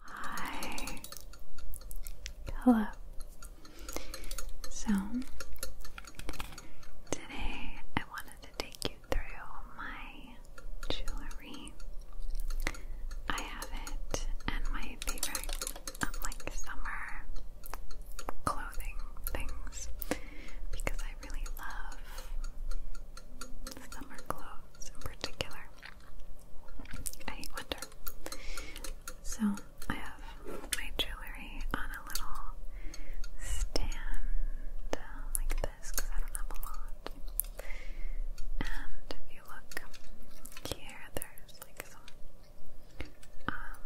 Hi. Hello. So, today I wanted to take you through my jewelry. I have it and my favorite, um, like, summer clothing things because I really love summer clothes in particular. I hate So I have my jewelry on a little stand uh, like this because I don't have a lot. And if you look here, there's like some um,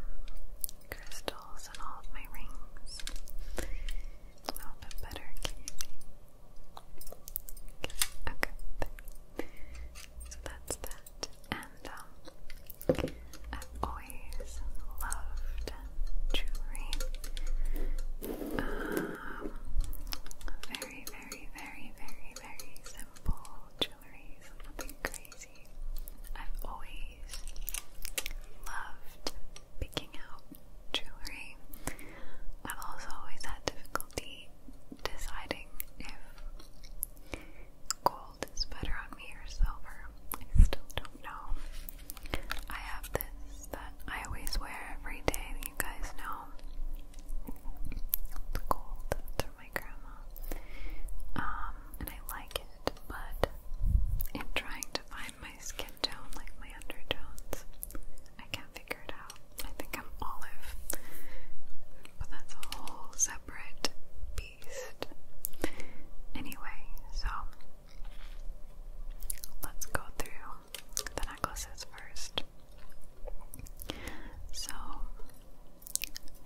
crystals and all of my rings. A little bit better, can you see? Okay, there. So that's that. And um, I've always loved jewelry. Um, very, very, very, very, very simple jewelry. nothing crazy. I've always loved picking out jewelry. I've also always had difficulty deciding if gold is better on me or silver. I still don't know. I have this that I always wear every day, you guys know. It's gold. It's from my grandma. Um, and I like it, but in trying to find my skin tone, like my undertones, I can't figured out. I think I'm Olive, but that's a whole separate beast. Anyway, so let's go through the necklaces first. So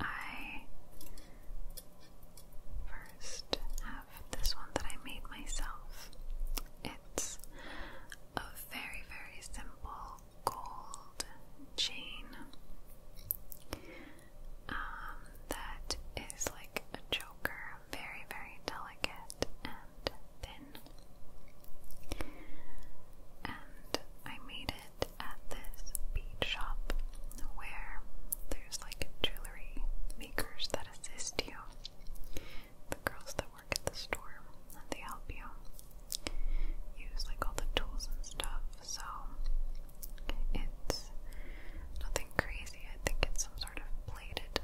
I first have this one that I made myself. It's a very, very simple gold chain um, that is like a joker, very, very delicate and thin. And I made it at this bead shop where there's like jewelry makers that assist you. The girls that at the store and they help you use like all the tools and stuff. So it's nothing crazy. I think it's some sort of plated,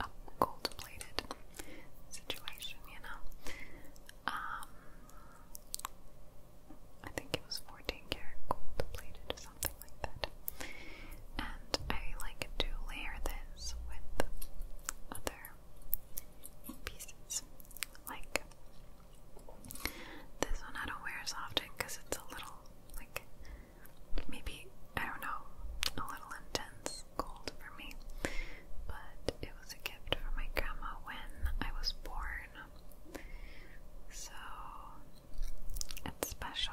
a gold plated situation, you know. Um, I think it was 14 karat gold plated or something like that and I like to layer this with other pieces. Like this one I don't wear as often because it's a little like maybe I don't know a little intense gold for me, but it was a gift from my grandma when I was born, so it's special.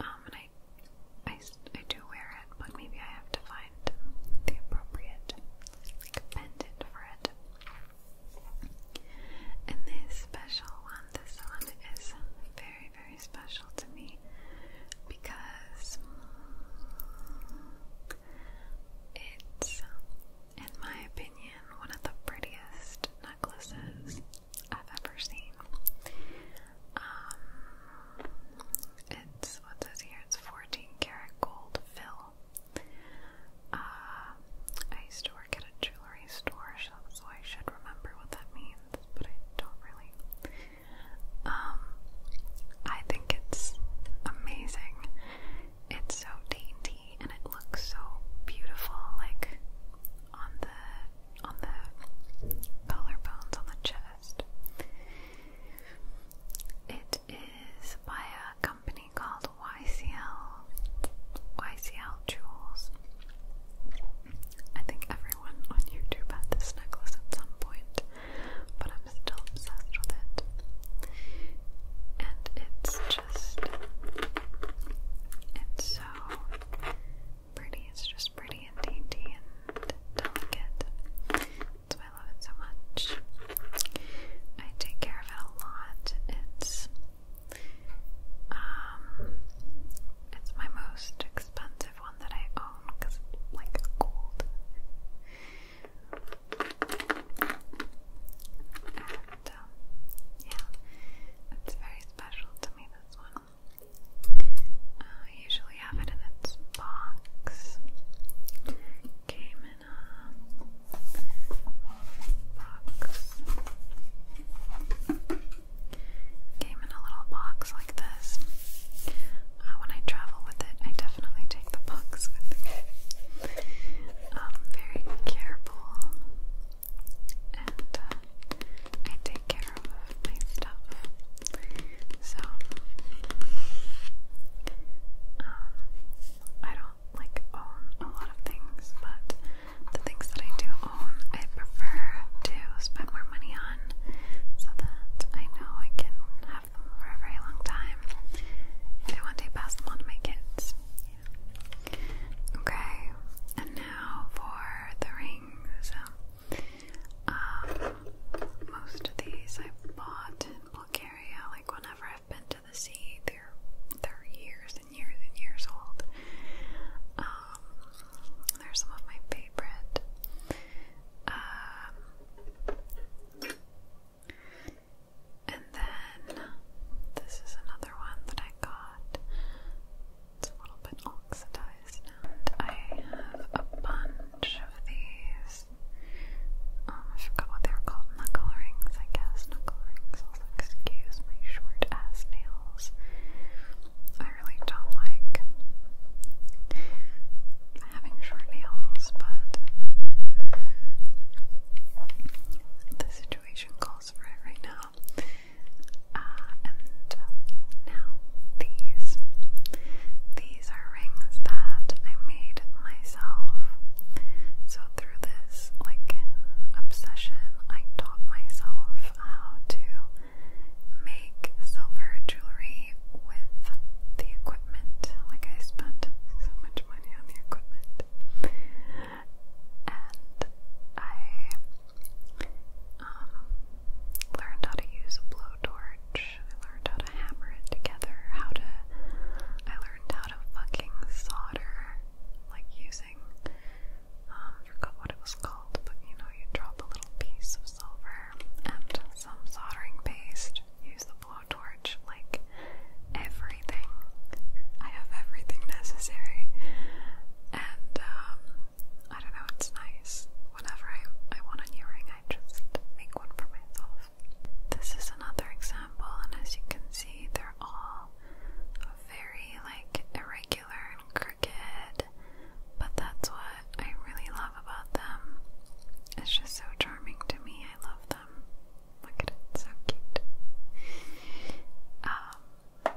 Um, I, I, do wear it, but maybe I have to find the appropriate pendant for it. And this special one, this one is very, very special to me because it's, in my opinion, one of the prettiest necklaces I've ever seen. Um, it's what says here. It's 14 karat gold fill. Uh, I used to work at a jewelry store, so I should remember what that means, but I don't really. Um, I think it's amazing. It's so dainty and it looks so beautiful, like on the on the collarbones on the chest. It is by a company called YCL, YCL Jewels. I think everyone on YouTube had this necklace at some point, but I'm still obsessed with it. And it's just, it's so pretty. It's just pretty and dainty and delicate. That's why I love it so much. I take care of it a lot. It's um, it's my most expensive one that I own because it's like gold. And um, yeah, it's very special to me. This one. I usually have it in its box. Came in a box. Came in a little box like this. Uh, when I travel with it, I definitely take the box with me. Um, very careful uh, I take care of my stuff. So, um, I don't like own a lot of things, but the things that I do own, I prefer to spend more money on so that I know I can have them for a very long time. And I one day pass them on to my kids. Okay, and now for the rings. Um, um, most of these I bought in Bulgaria, like whenever I've been to the sea, they're they're years and years and years old. Um, they're some of my favorite. Um, and then this is another one that I got. It's a little bit oxidized now. I have a bunch of these. Um, I forgot what they were called. Knuckle rings, I guess. Knuckle rings. excuse my short ass nails. I really don't like having short nails, but the situation calls for it right now. Uh, and now these. These are rings that I made myself. So through this like obsession, I taught myself how to make silver jewelry with the equipment. Like I spent so much money on the equipment. And I um, learned how to use a blowtorch. I learned how to hammer it together. How to. I learned how to fucking solder, like using. Um, forgot what it was called, but you know, you drop a little piece of silver and some soldering paste. Use the blowtorch, like everything. I have everything necessary, and um, I don't know. It's nice whenever I, I want a new I just make one for myself. This is another example, and as you can see, they're all very like irregular and crooked, but that's what I really love about them. It's just so charming to me. I love them. Look at it, so cute. Um,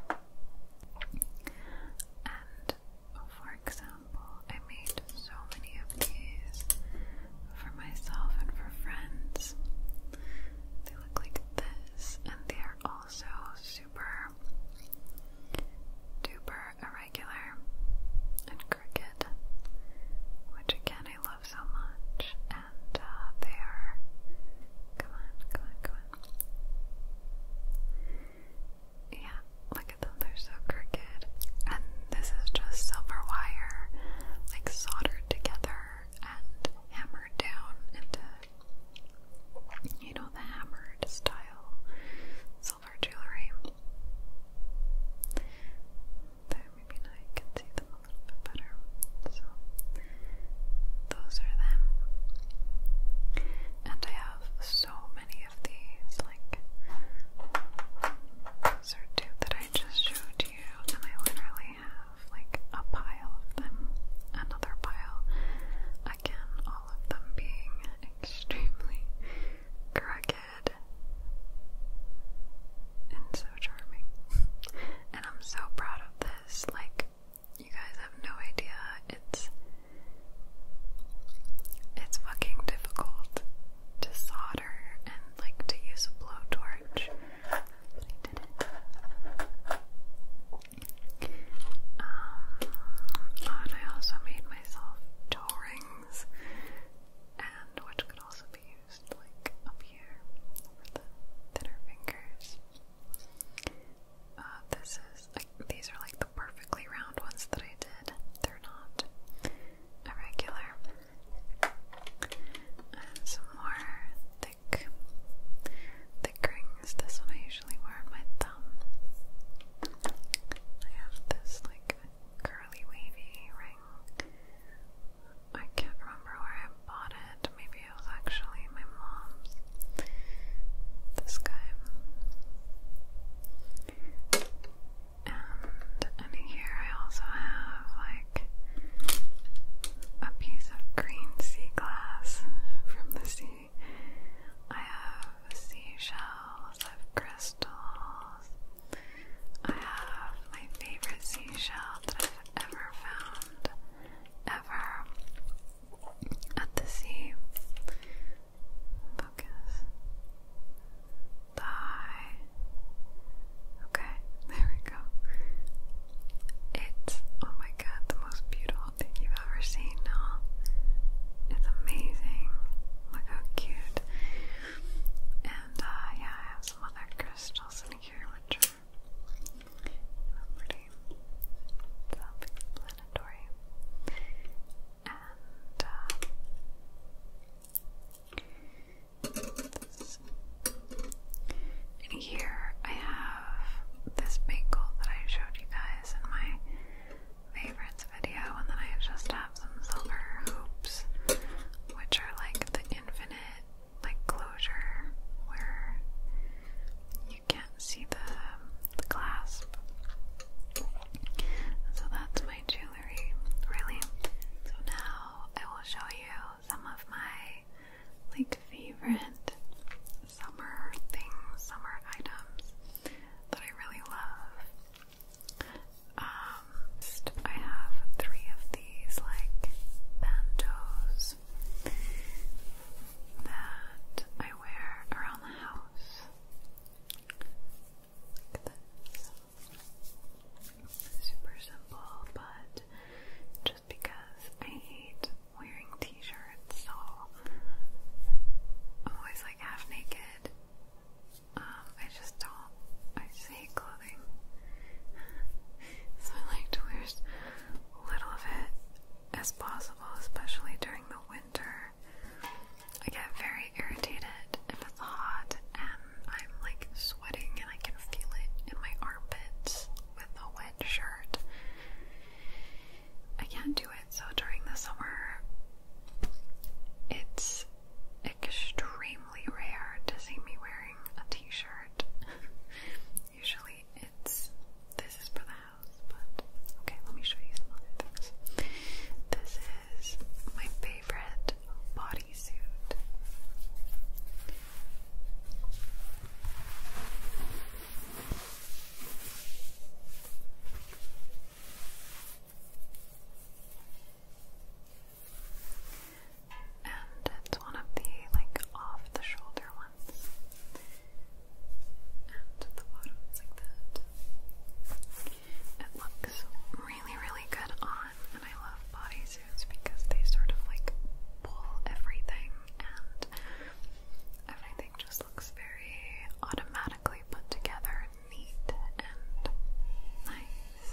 for example, I made so many of these for myself and for friends. They look like this, and they are also super duper irregular and crooked, which again I love so much. And uh, they are. Come on, come on, come on. Yeah, look at them, they're so crooked. And this is just silver wire, like soldered together and hammered down into, you know, the hammered style silver jewelry. There, maybe now you can see them a little bit better. So, those are them. And I have so many these, like these two that I just showed you, and I literally have like a pile of them, another pile. Again, all of them being extremely crooked and so charming. And I'm so proud of this. Like you guys have no idea. It's it's fucking difficult to solder and like to use a blowtorch. I did it. Um, I also made myself toe rings, and which could also be used like up here for the thinner fingers. Uh, this is these are like the perfectly round ones that I did. They're not irregular. And some more thick, thick rings. This one I usually wear on my thumb. I have this like curly wavy ring. I can't remember where I bought it. Maybe it was actually my mom's. This guy. And here I also have like a piece of green sea glass from the sea. I have seashells, I have crystals. I have my favorite seashell that I've ever found, ever, at the sea. Focus. Thigh. Okay, there we go. It's, oh my god, the most beautiful thing you've ever seen now. It's amazing. Look how cute. And, uh, yeah, I have some other crystals in here which are pretty uh, and here I have this bagel that I showed you guys in my favorites video, and then I just have some silver hoops, which are like the infinite like closure where you can see the, the clasp. So that's my jewelry, really. So now I will show you some of my like favorite summer things, summer items that I really love. Um, I have three of these like bandos that I wear around the house. Super simple, but just because I hate wearing t-shirts, so I'm always like half naked. Um, I just don't. I hate clothing, so I like to wear as little of it as possible, especially during the winter. I get very irritated if it's hot and I'm like sweating and I can feel it in my armpits with a wet shirt. I can't do it, so during the summer, it's extremely rare to see me wearing a t shirt. Usually, it's this is for that house, okay, let me show you some other things. This is my favorite bodysuit. And it's one of the like off the shoulder ones and the bottom is like that. It looks really, really good on, and I love bodysuits because they sort of like pull everything, and everything just looks very automatically put together, neat and nice.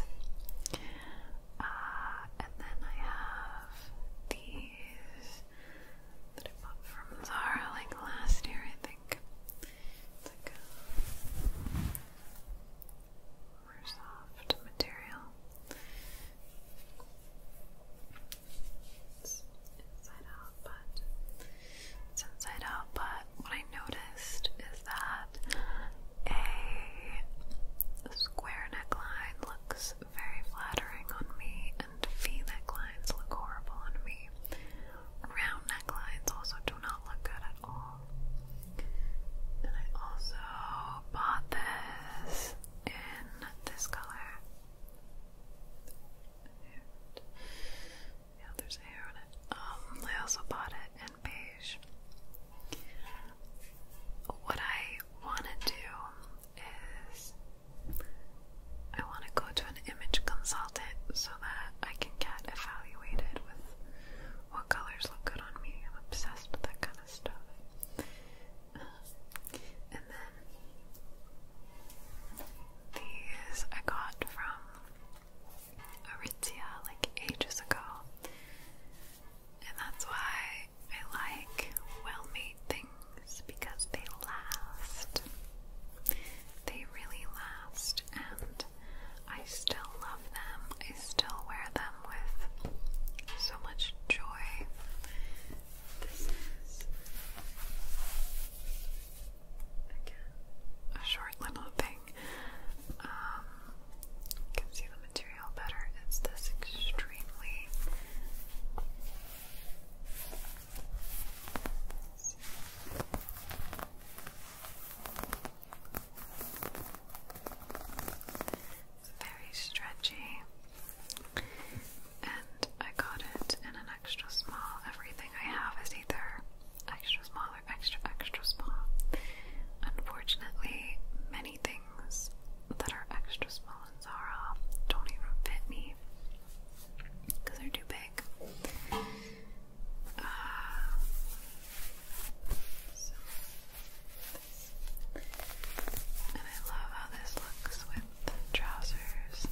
Uh, and then I have these that I bought from Zara last year, I think. more soft material. It's inside out, but it's inside out. But what I noticed is that a square neckline looks very flattering on me, and V necklines look horrible on me. Round necklines also do not look good at all. And I also bought this in this color. Yeah, there's hair on it. Um, I also bought it in beige. What I want to do is I want to go to an image consultant so that I can get evaluated with what colors look good on me. I'm obsessed with that kind of stuff. Uh, and then these I got from Aritzia like ages ago. And that's why I like well made things because they last. They really last, and I still love them. I still wear them with so much joy. This is again a short little thing. Um, you can see the material better. It's this extremely very stretchy, and I got it in an extra small. Everything I have is either extra small or extra, extra small. Unfortunately, many things that are extra small in Zara don't even fit me because they're too big. Uh, and I love how this looks with trousers. And it's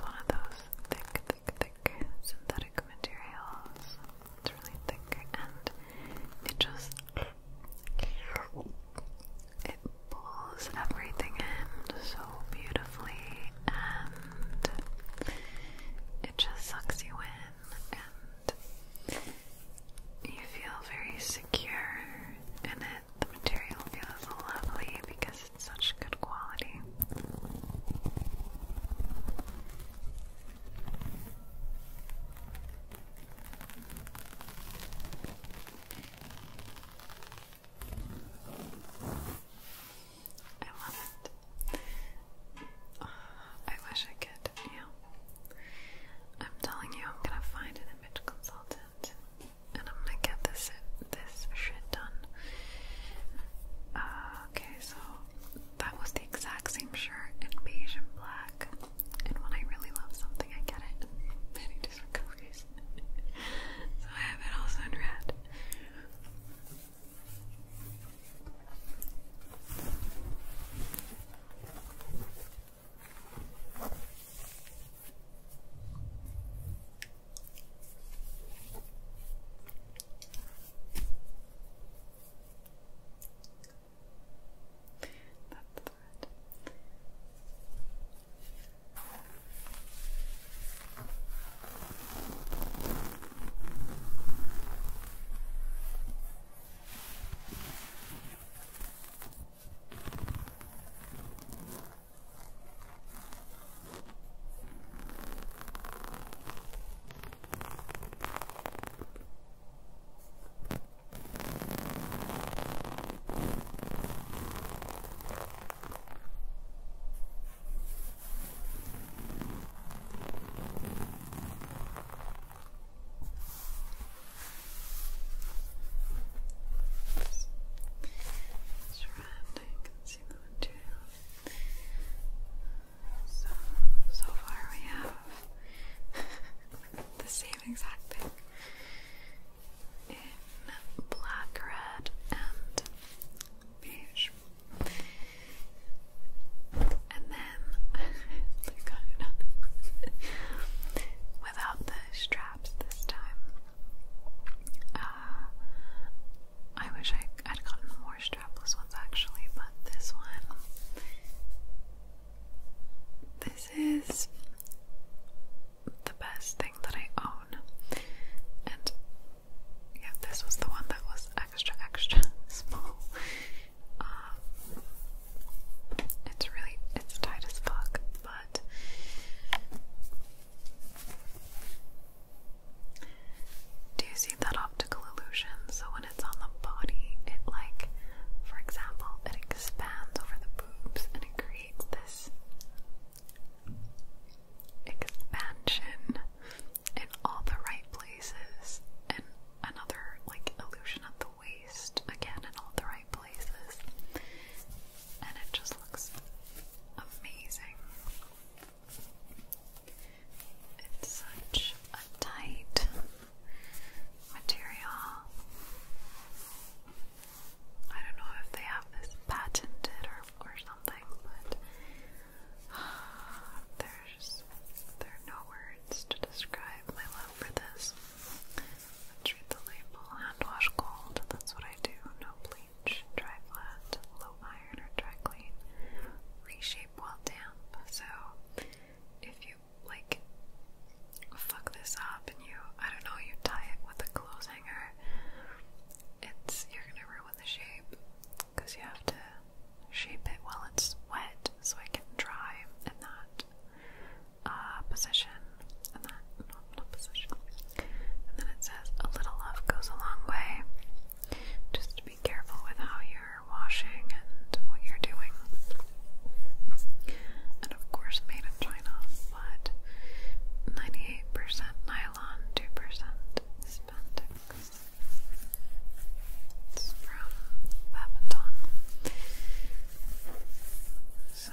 one of those thick, thick, synthetic materials. It's really thick and it just it pulls everything in so beautifully and it just sucks you in and you feel very secure in it. The material feels lovely because such good quality. I love it. I wish I could, yeah. I'm telling you, I'm gonna find an image consultant and I'm gonna get this this shit done. Uh, okay, so that was the exact same shirt in beige and black. And when I really love something, I get it many different so I have it also in red. That's the Surrounding, can see the material so, so far we have the same exact thing in black, red, and beige. And then, without the straps this time, I wish I had gotten more strapless ones actually, but this one. This is the best thing that I own. And yeah, this was the one that was extra, extra small. Um, it's really, it's tight as fuck, but do you see that optical illusion? So when it's on the body, it like, for example, it expands over the boobs and it creates this expansion in all the right places and another like illusion at the waist again in all the right places and it just looks amazing it's such a tight material. I don't know if they have this patented or, or something, but there's there are no words to describe my love for this. Treat the label hand wash gold. That's what I do. No, please dry flat, low iron, or dry clean. Reshape while damp. So if you like fuck this up and you, I don't know, you tie it with a clothes hanger, it's you're gonna ruin the shape because you have to shape it while it's wet so it can dry uh, in that position. In that, position, and then it says, a little love goes a long way. Just be careful with how you're washing and what you're doing. And of course, made in China, but 98% nylon, 2% spandex. It's from Babaton. So,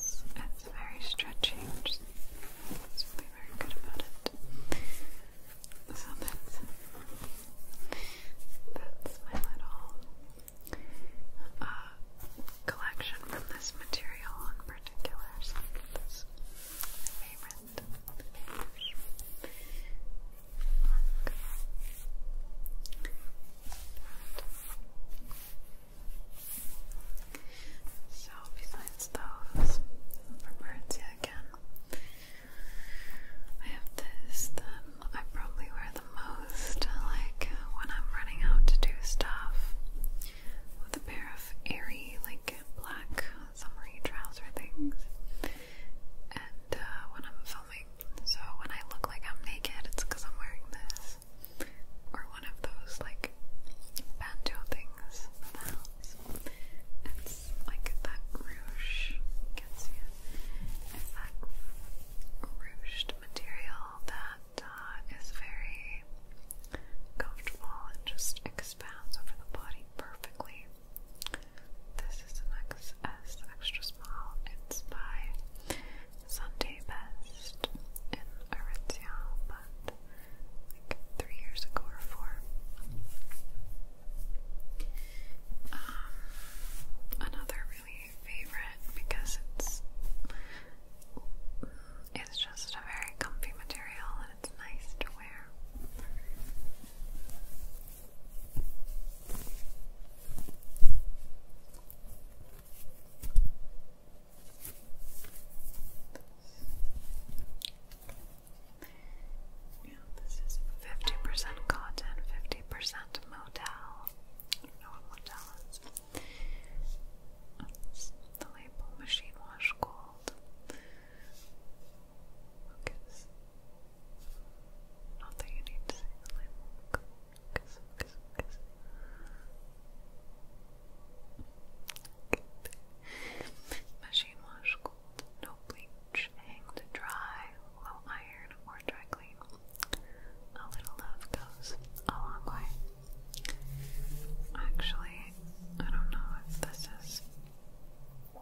It's, it's very stretchy, which very good about it. So that's, that's my little uh, collection from this material in particular. So it's my favorite so besides those from Marzia again, I have this that I probably wear the most, like when I'm running out to do stuff with a pair of airy, like black summery trouser things. And uh, when I'm filming, so when I look like I'm naked, it's because I'm wearing this or one of those like banjo things It's like that rouge. material that uh, very comfortable and just expands over the body perfectly. This is an XS extra small. It's by Sunday Best in Aritzia, but three years ago or four. Um, another really favorite because it's it's just a very comfy material and it's nice to wear yeah, this is fifty percent cotton, fifty percent motel. I don't know what motel is. It's the label machine wash gold. Focus. Not you need to say the label. Focus, focus, focus. Machine wash cold, no bleach, hang to dry, low iron or dry clean. A little love goes a long way. Actually, I don't know if this is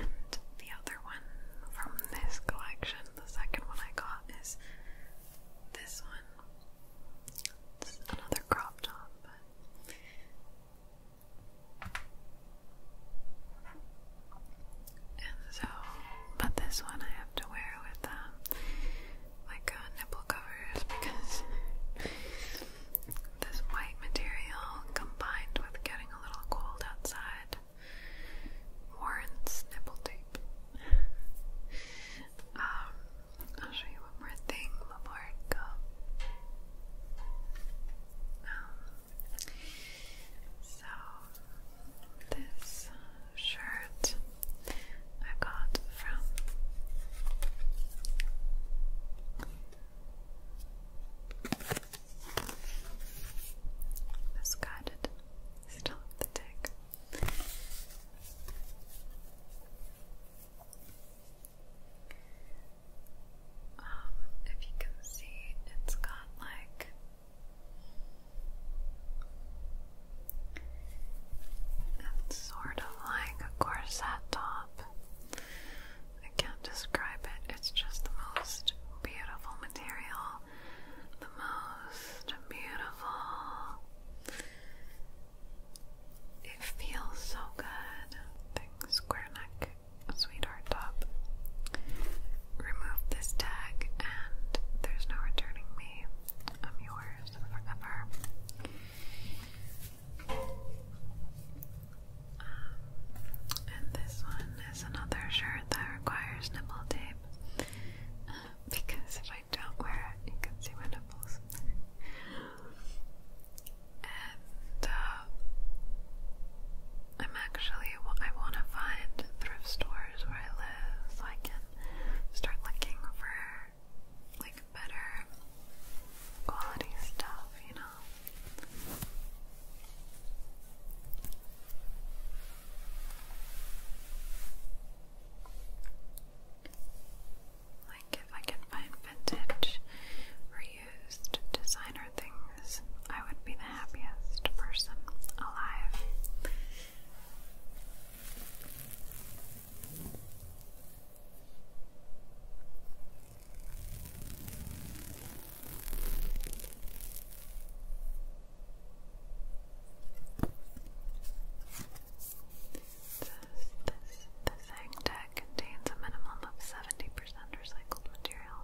And the other one from this collection, the second one I got, is this one. It's another crop top, and so, but this one I have to wear with um, like nipple covers because this white material combined with getting a little cold outside warrants nipple tape. Um, I'll show you one more thing before I go. Um, so, this shirt I got from Misguided. Still the tick. Um, if you can see, it's got like it's sort of like a corset top I can't describe it. It's just the most beautiful material. The most beautiful. It feels so good. square neck, sweetheart top. Remove this tag, and there's no returning me. I'm yours forever and this one is another shirt that requires nipple tape uh, because if I don't wear it, you can see my nipples. and uh, I'm actually, I want to find thrift stores where I live so I can start looking for better quality stuff, you know. Like if I can find vintage, reused designer things, I would be the happiest person alive. This, this, uh, contains a minimum of 70% recycled material.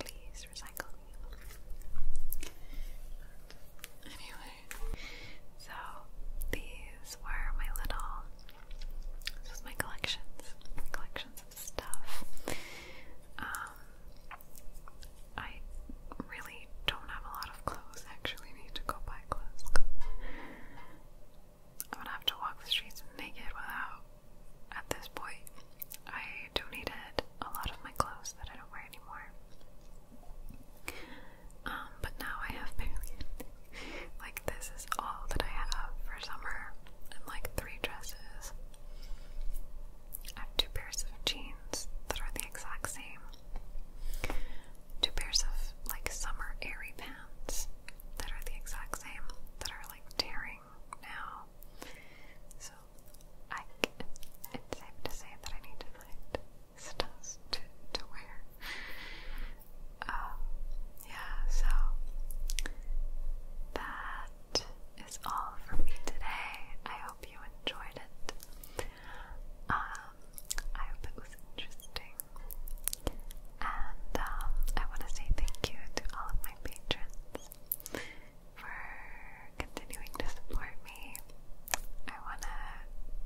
Please recycle Anyway, so these were my little this is my collection. collections of stuff. Um, I really don't have a lot of clothes. actually need to go buy clothes. I'm gonna have to walk the streets naked without. At this point, I donated a lot of my clothes that I don't wear anymore. Um, but now I have barely Like this is all that I have for summer. And like three dresses. two pairs of jeans that are the exact same. Two pairs of like summer airy pants that are the exact same that are like tearing now. So I it's safe to say that I need to find stuff to to wear. Uh, yeah, so that is all for me today. I hope you enjoyed it. Um, I hope it was interesting. And um, I want to say thank you to all of my patrons for continuing to support me. I want to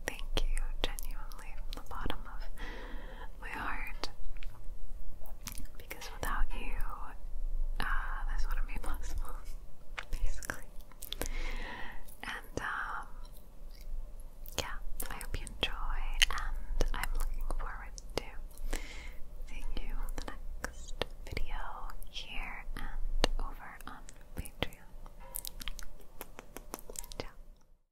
thank you genuinely from the bottom of my heart. Because without you, uh, this wouldn't be possible, basically. And, um, yeah, I hope you enjoy, and I'm looking forward to seeing you on the next video here and over on Patreon. Ciao.